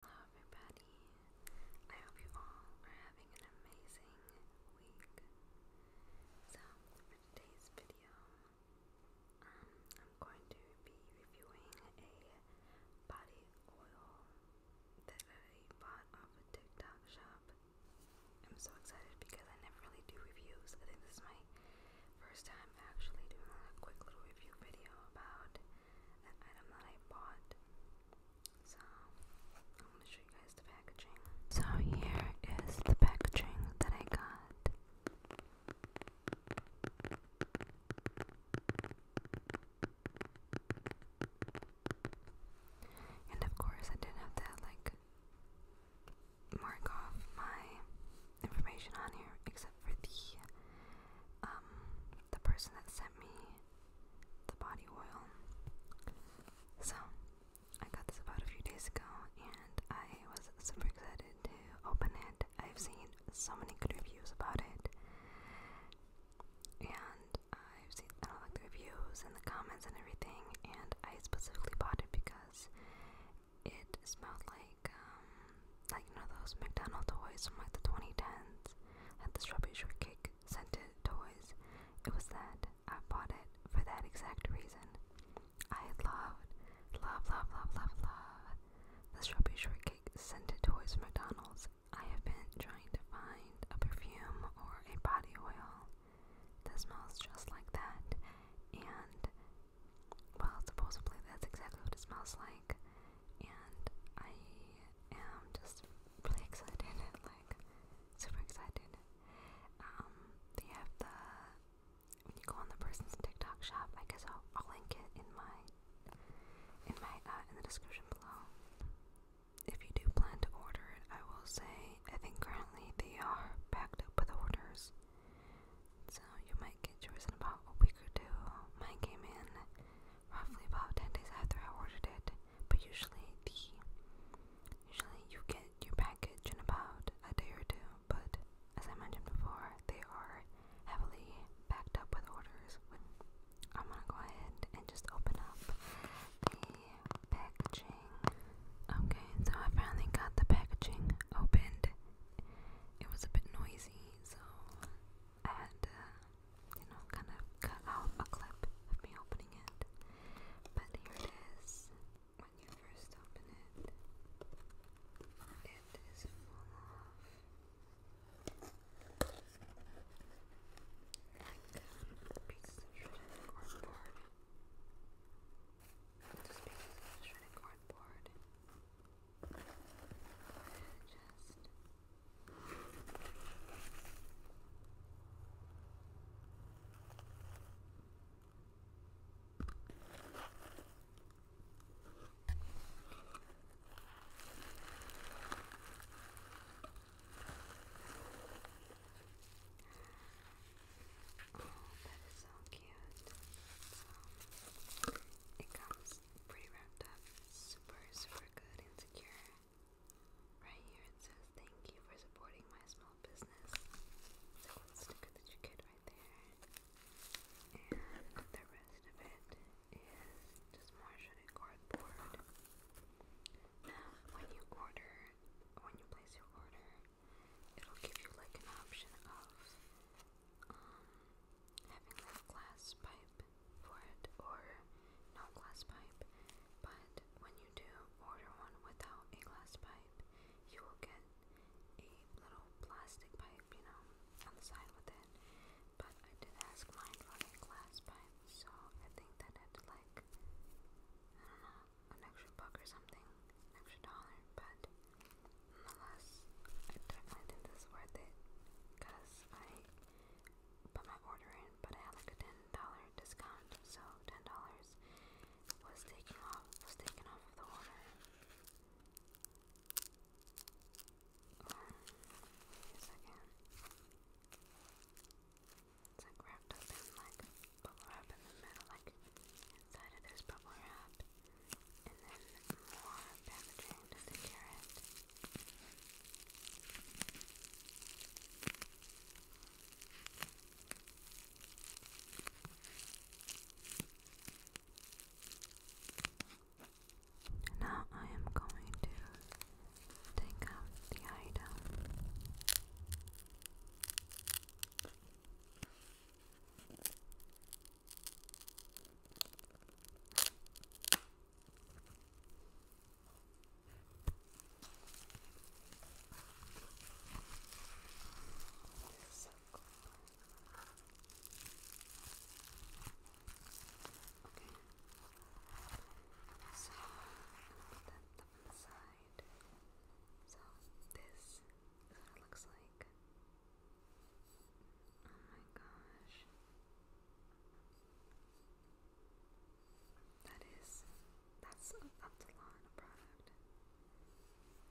Hello, everybody. I hope you all are having an amazing week. So, for today's video, um, I'm going to be reviewing a body oil that I bought off a TikTok shop. I'm so excited because I never really do reviews. I think this is my first time actually doing a quick little review video about so here is the packaging that I got. And of course I did have that like mark off my information on here except for the um, the person that sent me the body oil. So, I got this about a few days ago and I was super excited to open it. I've seen so many good reviews about it. And I've seen, I don't like the reviews and the comments and everything. And I specifically bought it because it smelled like um, like you know those McDonald's toys from like the 2010s, like the strawberry shortcake scented toys. It was that I bought it for that exact reason. I loved, love, love, love, love, love the strawberry shortcake scented toys from McDonald's. I have been trying to find a perfume or a body oil that smells just like that, and well, supposedly that's exactly what it smells like. And I I'm just really excited, like super excited. Um, they have the when you go on the person's TikTok shop. I guess I'll, link it in my in my uh, in the description below. If you do plan to order it, I will say I think currently they are backed up with orders, so you might get yours in about a week or two. Mine came in roughly about 10 days after I ordered it, but usually the usually you get your package in about a day or two, but as I mentioned before, they are heavily backed up with orders. I'm gonna go ahead and just open up the packaging. Okay, so I finally got the packaging opened. It was a bit noisy, so I had, uh, you know, kind of cut out a clip of me opening it. But here it is. When you first open it, it is full of like um, pieces of shredded cardboard. Just pieces of shredded cardboard. just that is so cute. it comes pretty wrapped super, super good and secure. Right here it says, Thank you for supporting my small business. That one sticker that you get right there. And the rest of it is just marshmallow cardboard. Now, when you order, when you place your order, it'll give you like an option of um, having that glass pipe pipe for it or no glass pipe, but when you do order one without a glass pipe, you will get a little plastic pipe, you know, on the side with it. But I did ask mine for a glass pipe, so I think that had like, I don't know, an extra buck or something, an extra dollar, but nonetheless, I definitely think this is worth it because because I put my order in, but I had like a ten dollar discount, so ten dollars was taken off was taken off the order. wait a second. It's like wrapped up in like bubble wrap in the middle, like inside of this bubble wrap, and then more packaging to secure it. Now I am going to take out the item. This is so put that to one So this is what it looks like. Oh my gosh. That is that's that's a lot of product.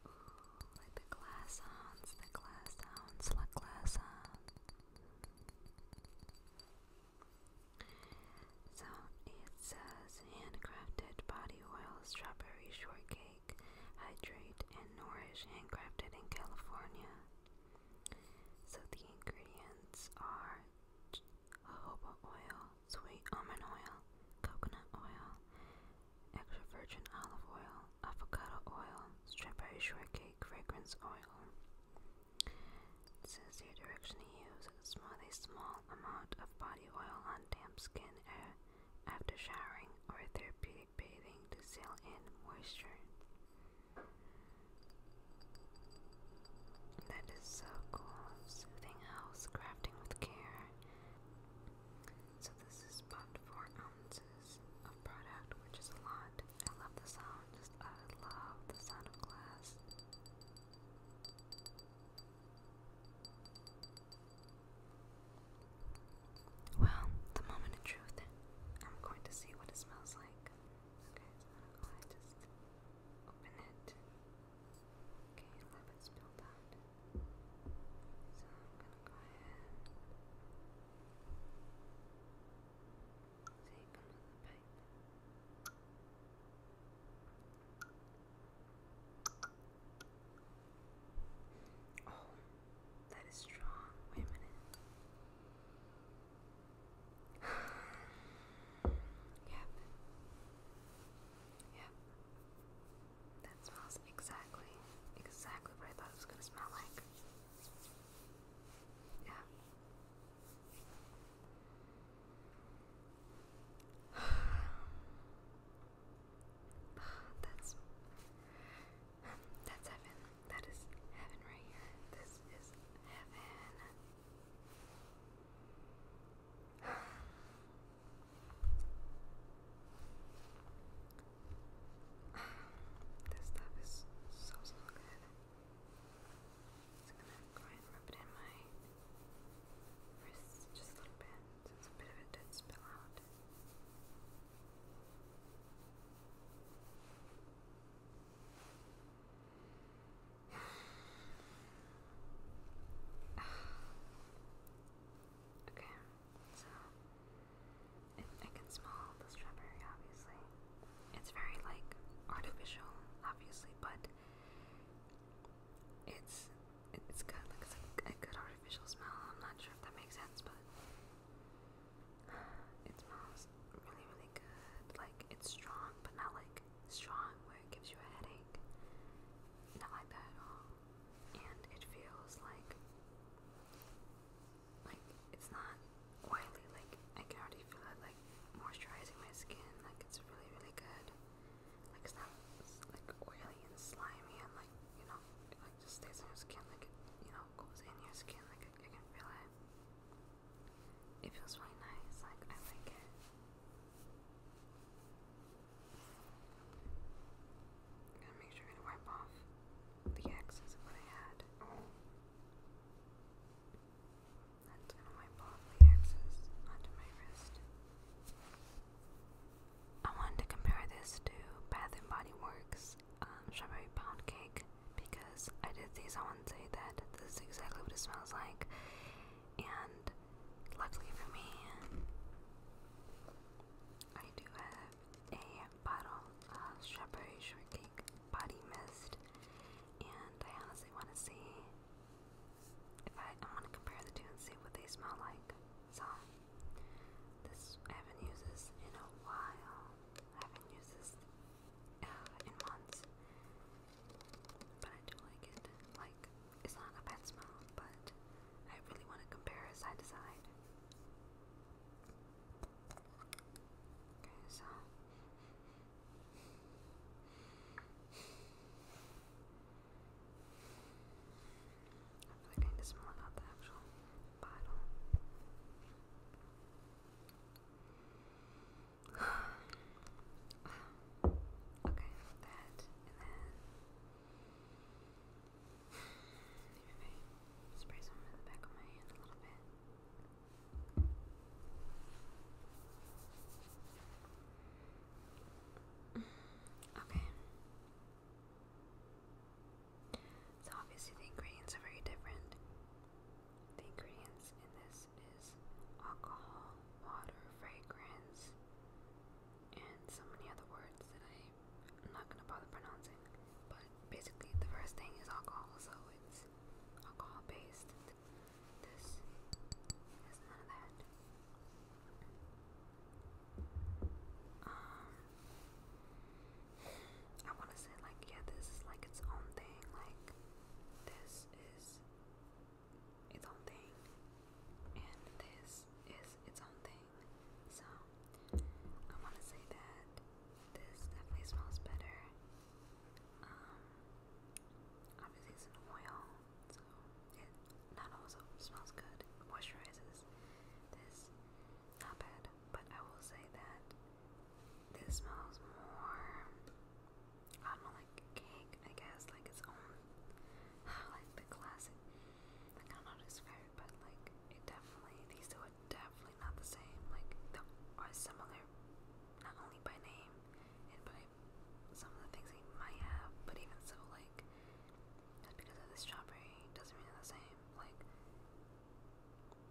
Ooh, like the glass sounds, the glass sounds, what glass sounds. So it says handcrafted body oil strawberry shortcake. Hydrate and nourish handcrafted in California. So the ingredients are jojoba oil, sweet almond oil, coconut oil, extra virgin olive oil, avocado oil, strawberry shortcake fragrance oil. says here direction to use smooth a small amount of body oil on damp skin after showering or therapeutic bathing to seal in moisture. That is so cool. Soothing house crafting with care. So this is about four ounces of product, which is a lot. I love the sound. Just I love the sound of glass. Well, the moment of truth, I'm going to see what it smells like. Okay, i just open it. Okay, a little bit out. So I'm gonna go ahead. So come with the Oh, that is strong. Wait a minute. yep. Yep. That smells exactly, exactly what I thought it was gonna smell like. Yeah. That's that's heaven. That is heaven right here. This is heaven. this stuff is so, so good. Just gonna go ahead and rub it in my wrists just a little bit since a bit of it did spill out. okay, so I can smell the strawberry, obviously. It's very like artificial, obviously, but it's it's good. Like it's a good artificial smell. I'm not sure if that makes sense, but it smells really, really good. Like it's strong, but not like strong where it gives you a headache. Not like that at all. And it feels like like it's not oily. Like I can already feel it like moisturizing my skin. Like it's really, really good. Like it's not like oily and slimy and like you know like just stays on your skin. Like you know how it in your skin, like I, can feel it. It feels really nice, like I like it. i to make sure to wipe off the excess of what I had. That's gonna the excess onto my wrist. I wanted to compare this to Bath and Body Works um, strawberry pound cake because I did these on Wednesday that this is exactly what it smells like, and luckily for me, I do have a bottle of strawberry shortcake body mist, and I honestly want to see. If I want to compare the two and see what they smell like, so this I haven't used this in a while. I haven't used this uh, in months, but I do like it. Like it's not a bad smell, but I really want to compare side to side. Okay, so. I feel like to smell out the actual bottle. wow. Okay, that and then maybe I spray some in the back of my hand a little bit. Okay. So obviously the ingredients are very different. The ingredients in this is alcohol, water, fragrance, and so many other words that I, am not gonna bother pronouncing. But basically the first thing is alcohol, so it's alcohol based. This is none of that. Um, I want to say, like, yeah, this is like its own thing. Like, this is its own thing, and this is its own thing. So, I want to say that this definitely smells better. Um, obviously, it's an oil, so it not also smells good. Moisturizes this, not bad but I will say that this smells more, I don't like cake, I guess, like its own, like the classic, I do describe it, but like it definitely, these two are definitely not the same, like they are similar, not only by name, and by some of the things they might have, but even so, like, just because of the strawberry doesn't mean they're the same, like,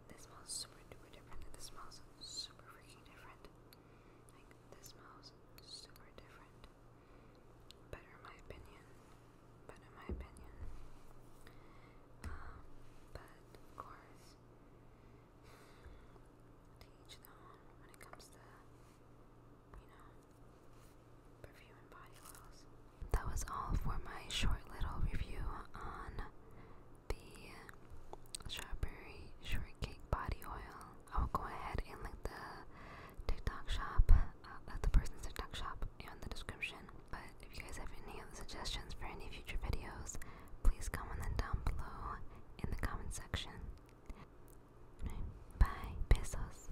this smells super duper different. This smells super freaking different. Like, this smells super different. Better in my opinion. But in my opinion. Um, but of course, to each when it comes to, you know, that was all for my short little review on the strawberry shortcake body oil. I will go ahead and link the TikTok shop, uh, the person's TikTok shop, in the description. But if you guys have any other suggestions for any future videos, please comment them down below in the comment section. Bye, pesos.